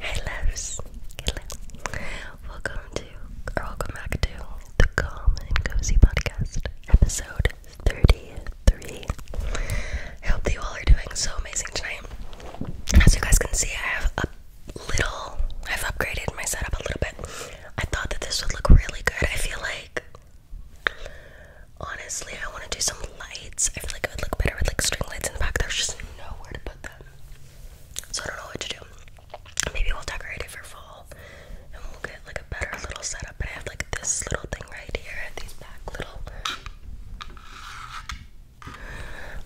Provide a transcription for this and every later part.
Hey loves, Welcome to, or welcome back to the Calm and Cozy Podcast, episode 33. I hope that you all are doing so amazing tonight. As you guys can see, I have a little, I've upgraded my setup a little bit. I thought that this would look really good. I feel like Honestly, I want to do some lights. I feel like it would look better with like string lights in the back. There's just nowhere to put them. So I don't know what to do. Maybe we'll decorate it for fall and we'll get like a better little setup. But I have like this little thing right here and these back little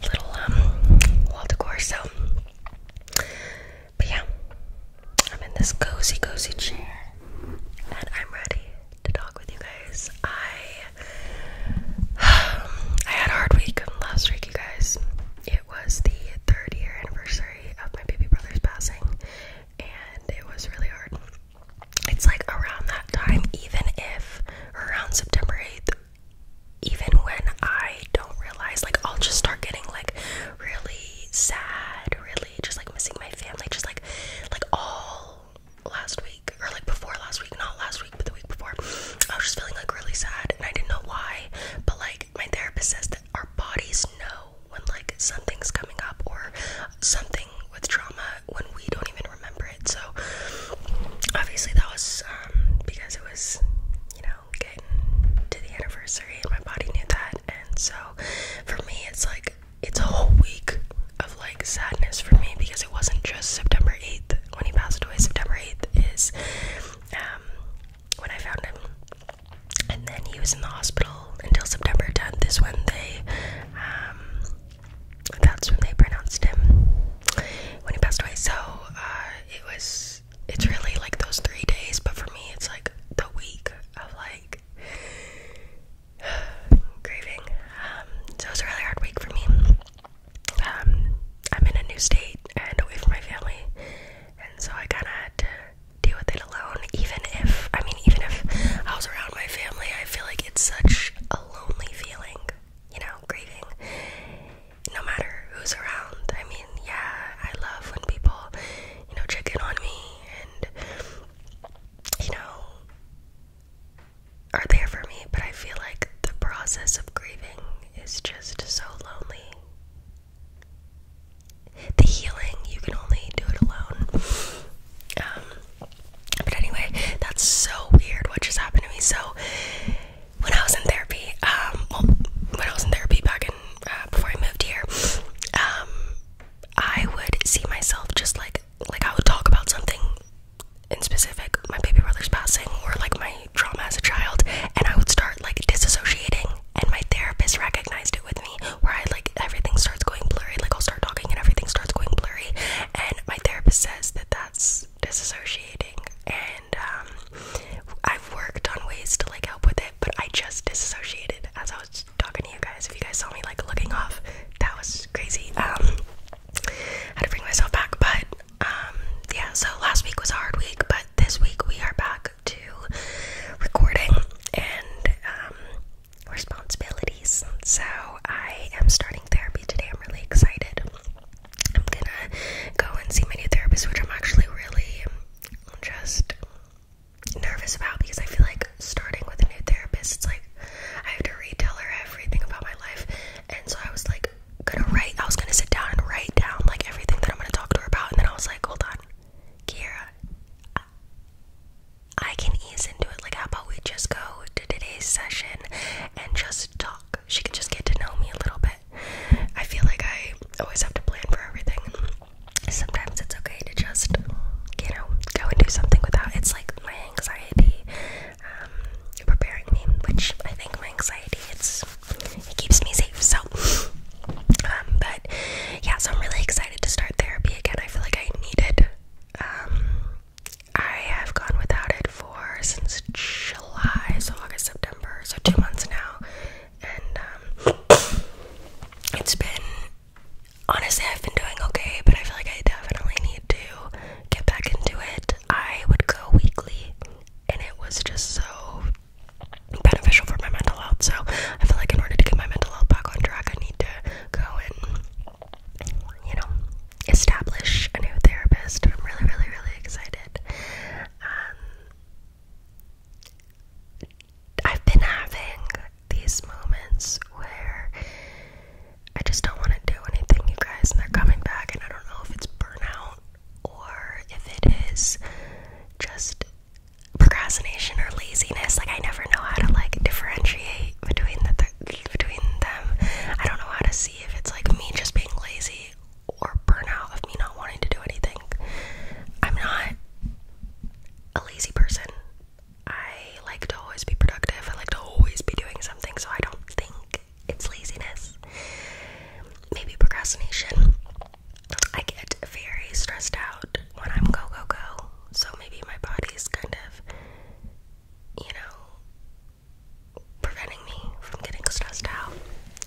little um wall decor. So but yeah, I'm in this cozy, cozy chair and I'm ready to talk with you guys. I I had a hard week last week, you guys. It was the third year anniversary of my baby brother's passing, and it was really hard. It's like around that time, even if around September 8th, even when I don't realize, like, I'll just start getting like really sad, really just like missing my family, just like, like all last week, or like before last week, not last week, but the week before, I was just feeling like really sad and I didn't know why. But like, my therapist says that our bodies know when like something's coming up or something with trauma when we don't even remember it. So, obviously, that was um, because it was, you know, getting to the anniversary and my body knew that. And so, for me, it's like it's a whole week of like sadness for me because it wasn't just September 8th when he passed away. September 8th is um, when I found him, and then he was in the hospital until September 10th. Is when they, um, that's when they pronounced him when he passed away. So uh, it was, it's really like those three days, but for me, it's like the week of like grieving. Um, so it was a really hard week for me. Um, I'm in a new state and away from my family, and so I kind of had to deal with it alone. Even if, I mean, even if I was around my family, I feel like it's such a lonely feeling, you know, grieving. No matter who's around, I mean, yeah, I love when people, you know, check in on me and you know, are there for me, but I feel like the process of grieving is just so lonely. The healing, you can only do it alone. Um, but anyway, that's so weird what just happened to me. So, when I was in therapy, um, well, when I was in therapy back in, uh, before I moved here, um, I would see myself just like like I would talk about something in specific, my baby brother's passing or like my trauma as a child, and I would start like disassociating and my therapist recognized it with me where I like everything starts going blurry, like I'll start talking and everything starts going blurry and my therapist says that that's disassociating and um I've worked on ways to like help with it, but I just disassociated as I was talking to you guys. If you guys saw me like looking off, that was crazy. Um, had to bring myself back, but um, yeah. So last week was a hard week, but this week we are back to recording and um, responsibilities. So I am starting therapy today. I'm really excited. I'm gonna go and see my new therapist, which I'm actually really just nervous about because I feel like starting with a new therapist, it's like I have to retell her everything about my life. And so I was like, gonna write, I was gonna sit down and write down like everything that I'm gonna talk to her about. And then I was like, hold on, Kiera, I, I can ease into it. Like, how about we just go to today's session and just talk? She can just get to know me a little bit. I feel like I always have to plan for everything sometimes it's okay to just, you know, go and do something without. It's like my anxiety um, preparing me, which I think my anxiety it's it keeps me safe. So, um, but yeah, so I'm really excited to start therapy again. I feel like I needed. Um, I have gone without it for since July, so August, September, so two months now, and um, it's been honestly, I've been doing okay, but I feel like I definitely need to get back into it. I would go weekly, and it was just so beneficial for my mental health. So I feel like in order to get my mental health back on track, I need to go and, you know, establish a new therapist. I'm really, really, really excited. Um, I've been having these moments where I just don't want to do anything, you guys, and they're coming back, and I don't know if it's burnout or if it is just procrastination or laziness. Like I never know how to like differentiate between the between them. I don't know how to see if it's like me just being lazy or burnout of me not wanting to do anything. I'm not a lazy person. I like to always be productive. I like to always be doing something, so I don't think it's laziness. Maybe procrastination. I get very stressed out when I'm go, go, go. So maybe my body's kind of, you know, preventing me from getting stressed out.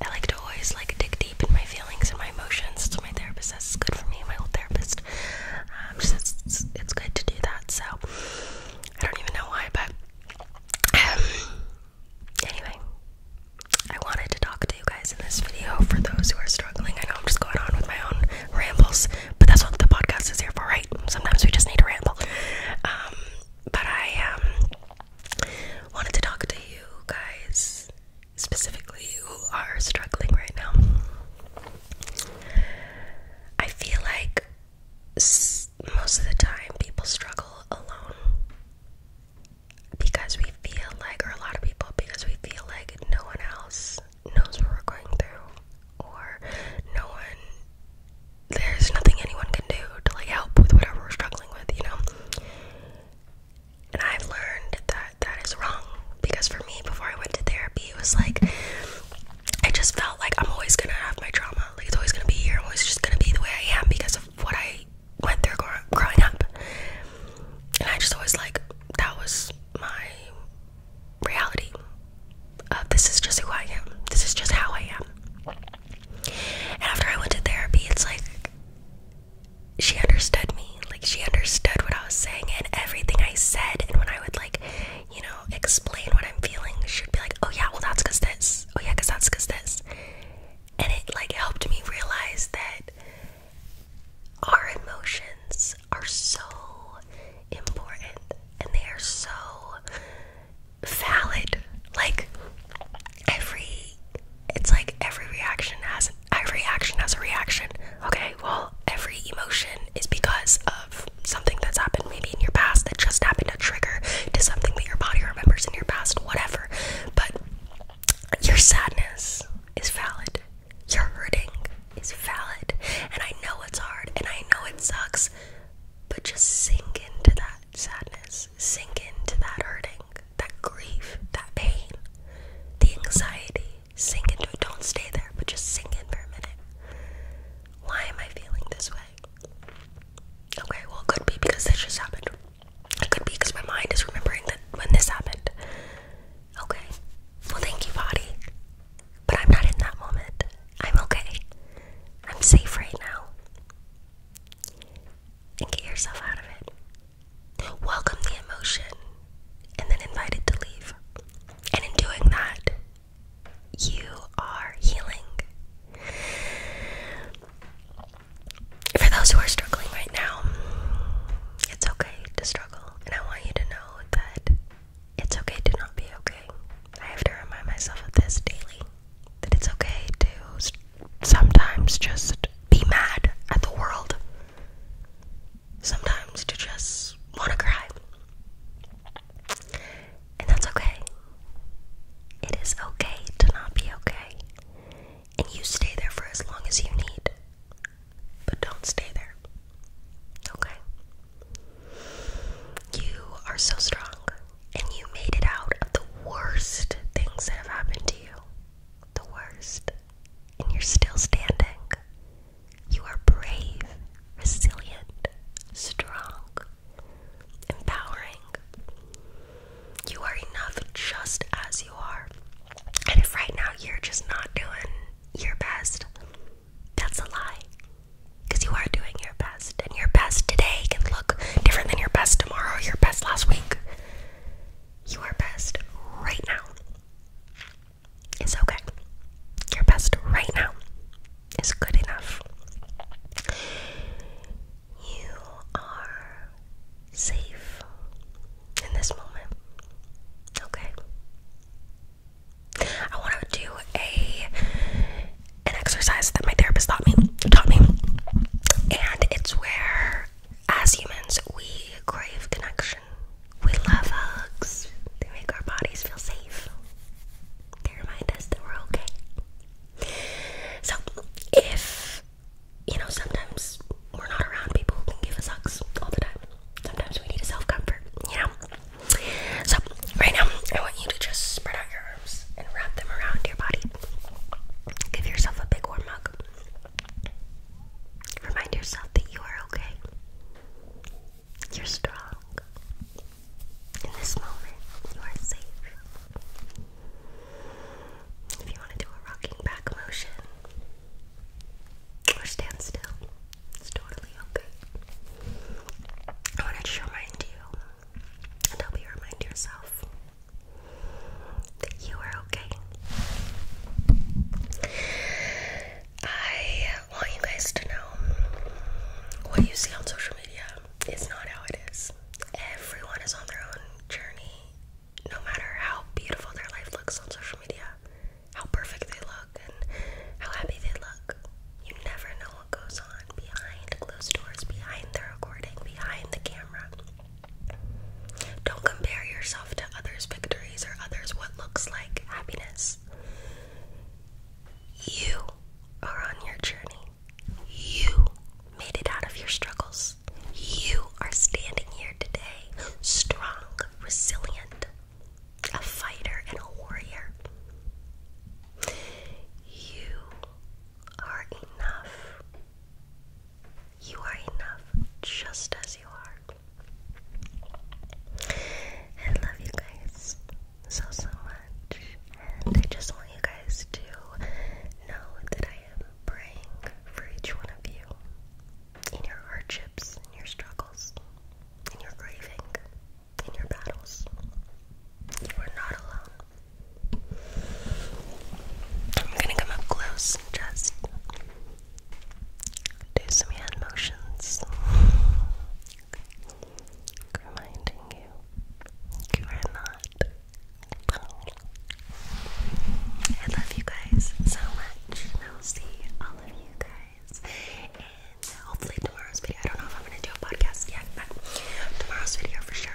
I like to always like dig deep in my feelings and my emotions. So my therapist says it's good for me. My old therapist, um, she says it's, good to do that. So I don't even know why, but um, anyway, I wanted to talk to you guys in this video for those who are struggling. I know I'm just going on with my own rambles, but that's what the podcast is here for, right? Sometimes we just need to ramble. Um, but I um, wanted to talk to you guys specifically who are struggling right now. I feel like most of the time people struggle alone because we feel like, or a lot of people, because we feel like no one else knows what we're going through, or no one, there's nothing anyone can do to like help with whatever we're struggling with, you know? And I've learned that that is wrong because for me, before I went to therapy, it was like I just felt like I'm always gonna have my trauma. Like it's always gonna be here. I'm always just gonna be the way I am because of what I went through growing up. And I just always like that was my reality. this is just who I am. This is just how I am. And after I went to therapy, it's like she understood me. Like she understood what I was saying and everything I said. And when I would like, you know, explain what I'm feeling, she'd be like, "Oh yeah, well that's cause this. Oh yeah, cause that's cause this." And it like helped me realize that our emotions are so important and they are so valid. Like every it's like every reaction has every action has a reaction. Okay, well every emotion is because of something that's happened maybe in your past that just happened to trigger to something that your body remembers in your past, whatever. But your sadness is valid. Your hurting is valid. And I know it's hard and I know it sucks, but just sink into that sadness. Sink into that hurting that grief, that pain, the anxiety. Sink into it. Don't stay there, but just sink in for a minute. Why am I feeling this way? Okay, well, it could be because this just happened. It could be because my mind is remembering that when this happened. Okay, well, thank you, body. But I'm not in that moment. I'm okay. I'm safe right now and get yourself out of it. Welcome the emotion and then invite it to leave. And in doing that, you are healing. For those who are struggling right now, it's okay to struggle. And I want you to know that it's okay to not be okay. I have to remind myself of this daily that it's okay to sometimes just be mad at the world. Sometimes to just want to cry. And that's okay. It is okay to not be okay. And you stay there for as long as you need. But don't stay there. Okay? You are so strong and you made it out of the worst things that have happened to you. The worst. And you're still standing. You are brave, resilient, strong, empowering. You are enough just as you are. And if right now you're just not doing your best, that's a lie. Because you are doing your best and your best today can look different than your best tomorrow, your best last week. You are best right now. It's okay. Your best right now is good enough. You are safe in this moment. Okay. I want to do a an exercise that my therapist taught me taught me. And it's where as humans we crave connection. We love hugs. They make our bodies feel safe. They remind us that we're okay. So if you know sometimes we're not around people who can give us hugs all the time. Sometimes we need a self-comfort, you know? So right now I want you to just spread out your and wrap them around your body. Give yourself a big warm hug. Remind yourself that you are okay. You're strong. In this moment, you are safe. If you want to do a rocking back motion or stand still, it's totally okay. I want to remind you and help you remind yourself that you are okay. I want you guys to know what you see on social media is not how it is. Everyone is on their own journey, no matter how beautiful their life looks on social media, how perfect they look, and how happy they look. You never know what goes on behind closed doors, behind the recording, behind the camera. Don't compare yourself to others' victories or others' what looks like happiness. You are on your journey. You made it out of your struggles. You are standing here today, strong, resilient, a fighter, and a warrior. You are enough. You are enough just as you are. I love you guys so, so much. And I just want you guys to know that I am praying for each one of you in your hardships, in your struggles, in your grieving in your battles. You are not alone. I'm gonna come up close just do some hand motions. Reminding you, you are not alone. I love you guys so much, I'll see all of you guys hopefully tomorrow's video. I don't know if I'm gonna do a podcast yet, but tomorrow's video for sure.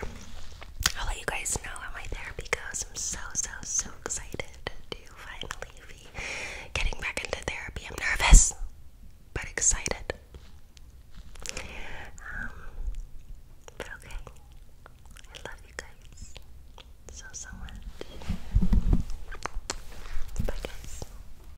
I'll let you guys know how my therapy goes. I'm so so so excited to finally be getting back into therapy. I'm nervous but excited. Um, but okay. I love you guys so so much. Bye guys.